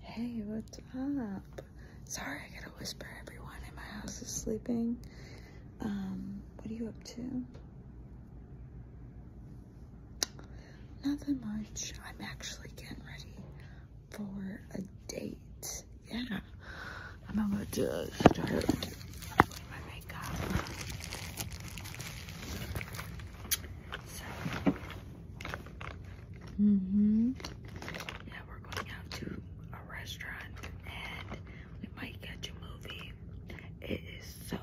Hey, what's up? Sorry, I gotta whisper. Everyone in my house is sleeping. Um, what are you up to? Nothing much. I'm actually getting ready for a date. Yeah, I'm about to start my makeup hmm Yeah, we're going out to a restaurant and we might catch a movie. It is so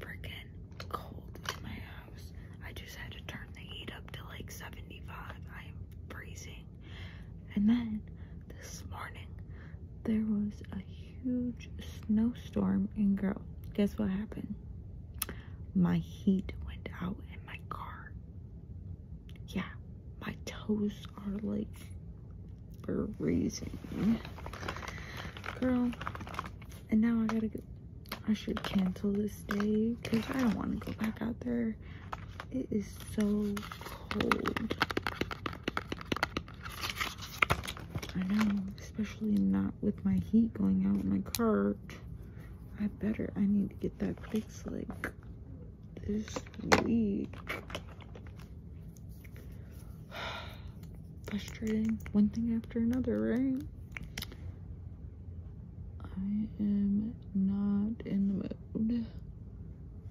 freaking cold in my house. I just had to turn the heat up to like 75. I am freezing. And then this morning there was a huge snowstorm and girl, guess what happened? my heat went out in my car. Yeah, my toes are like freezing. Girl, and now I gotta go. I should cancel this day because I don't want to go back out there. It is so cold. I know, especially not with my heat going out in my car. I better, I need to get that fixed like this week. Frustrating, one thing after another, right? I am not in the mood.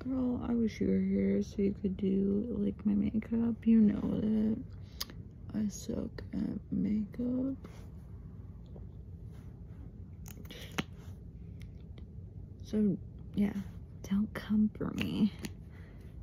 Girl, I wish you were here so you could do like my makeup. You know that. I suck at makeup. So, yeah, don't come for me.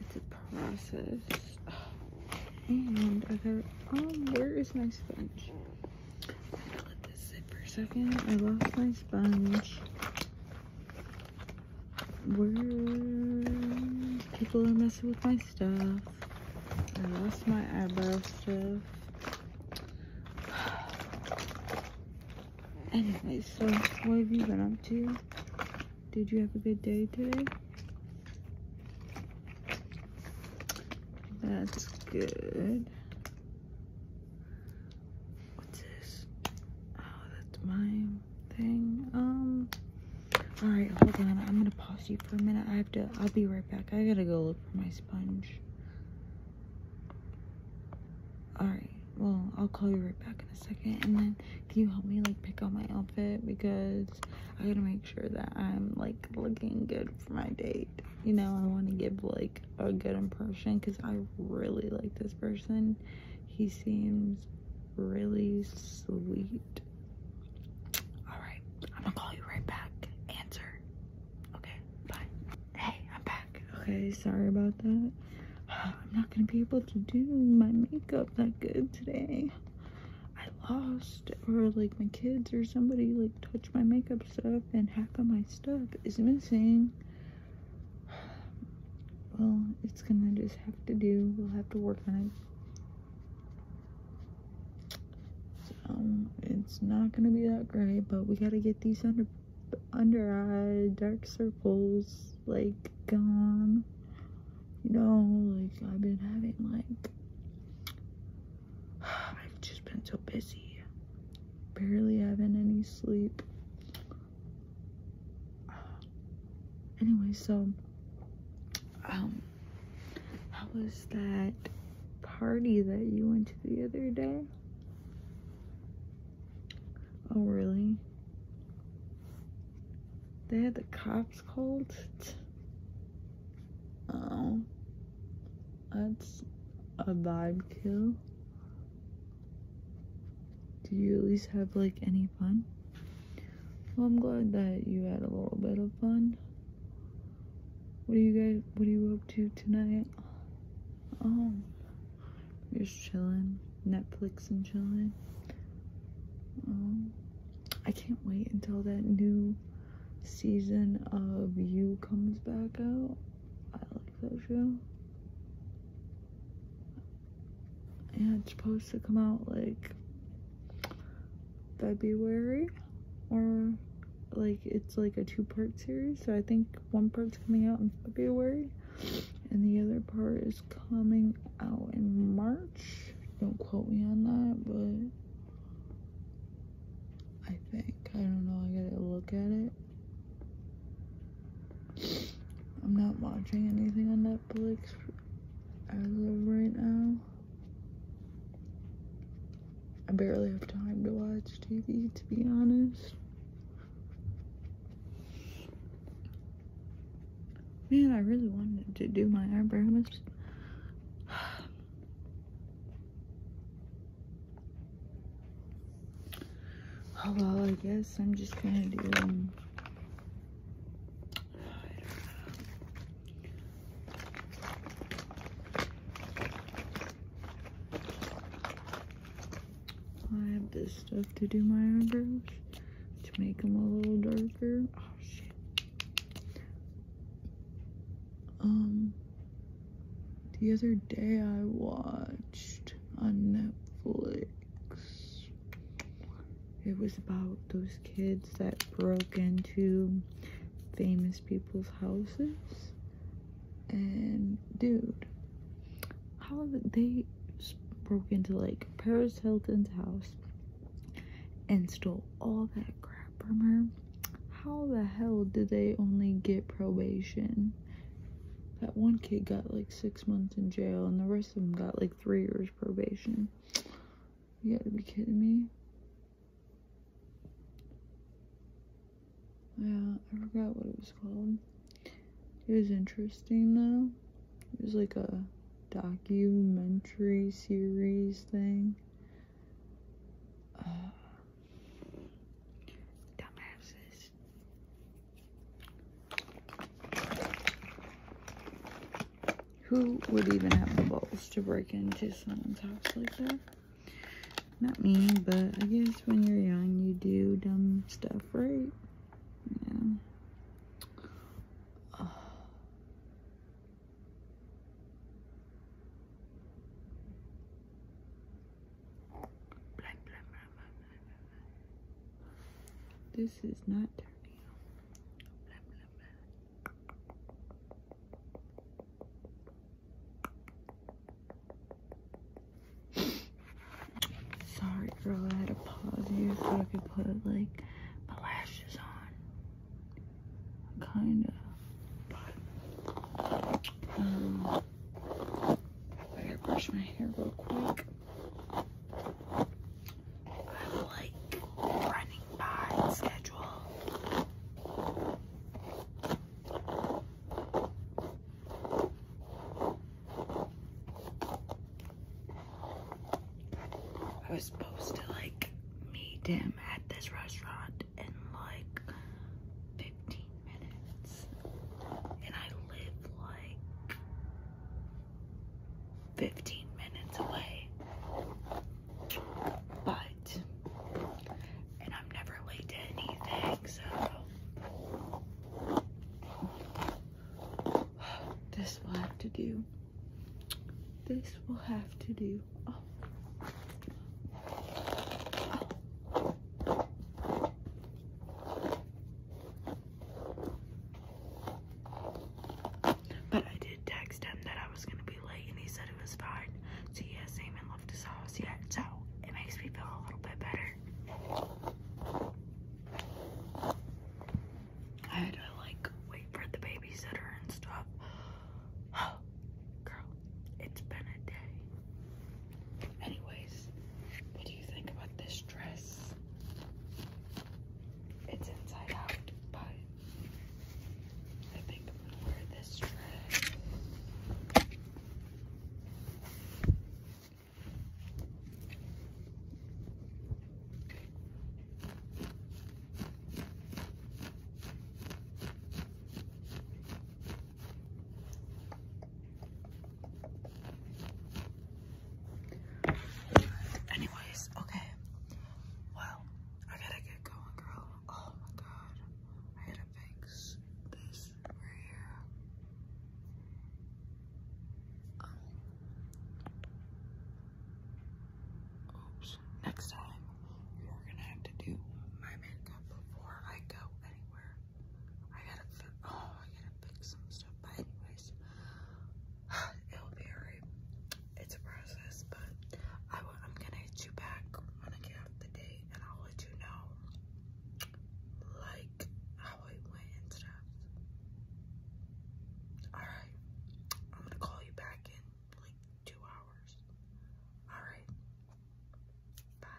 It's a process. And I got, um, where is my sponge? i let this sit for a second. I lost my sponge. Where people are messing with my stuff. I lost my eyebrow stuff. Anyway, so what have you been up to? Did you have a good day today? That's good. What's this? Oh, that's my thing. Um, all right, hold on. I'm gonna pause you for a minute. I have to. I'll be right back. I gotta go look for my sponge. All right. Well, I'll call you right back in a second, and then can you help me like pick out my outfit because I gotta make sure that I'm like looking good for my date. You know, I want to give like a good impression because I really like this person. He seems really sweet all right. I'm gonna call you right back. Answer. Okay. Bye. Hey, I'm back. Okay. Sorry about that. I'm not gonna be able to do my makeup that good today. I lost, or like my kids or somebody like touched my makeup stuff, and half of my stuff is missing. Well, it's gonna just have to do. We'll have to work on it. Um, it's not gonna be that great, but we gotta get these under under eye dark circles like gone. You know, like I've been having like I've just been so busy, barely having any sleep. Anyway, so um how was that party that you went to the other day? Oh, really? They had the cops called? Oh. That's a vibe kill. Do you at least have, like, any fun? I'm glad that you had a little bit of fun. What are you guys, what are you up to tonight? Oh, just chilling, Netflix and chilling. Um, I can't wait until that new season of You comes back out. I like that show. And it's supposed to come out like February or like it's like a two-part series so I think one part's coming out in February and the other part is coming out in March don't quote me on that but I think I don't know I gotta look at it I'm not watching anything on Netflix as of right now. I barely have time to watch TV, to be honest. Man, I really wanted to do my eyebrows. Oh, well, I guess I'm just gonna do um, I have this stuff to do my eyebrows to make them a little darker. Oh shit. Um, the other day I watched on Netflix it was about those kids that broke into famous people's houses. And dude, how they broke into like Paris Hilton's house and stole all that crap from her. How the hell did they only get probation? That one kid got like six months in jail and the rest of them got like three years probation. You gotta be kidding me. Yeah, I forgot what it was called. It was interesting though. It was like a documentary series thing. dumbasses. Who would even have the balls to break into someone's house like that? Not me, but I guess when you're young, you do dumb stuff, right? Yeah. This is not turning blah, Sorry, girl. I had to pause here so I could put like my lashes on. Kinda. um, I gotta brush my hair real quick. I'm like running behind schedule. I was supposed to like meet him at this restaurant in like 15 minutes, and I live like 15 minutes away. But, and I'm never late to anything, so this will have to do. This will have to do. Oh. Oh. But I did text him that I was going to be late, and he said it was fine. So he hasn't even his house yet, so it makes me feel a little bit better. I had to, like, wait for the babysitter and stuff. girl, it's been a day. Anyways, what do you think about this dress? it's inside out, but I think I'm gonna wear this dress. Anyways, okay. Well, I gotta get going, girl. Oh my god. I gotta fix this right here. Um, oops. Next time, you're gonna have to do my makeup before I go anywhere. I gotta, oh, I gotta fix some stuff. But anyways, it'll be alright. It's a process, but I will, I'm gonna hit you back when I get off the date, and I'll let you know, like how it went and stuff. Alright, I'm gonna call you back in like two hours. Alright, bye.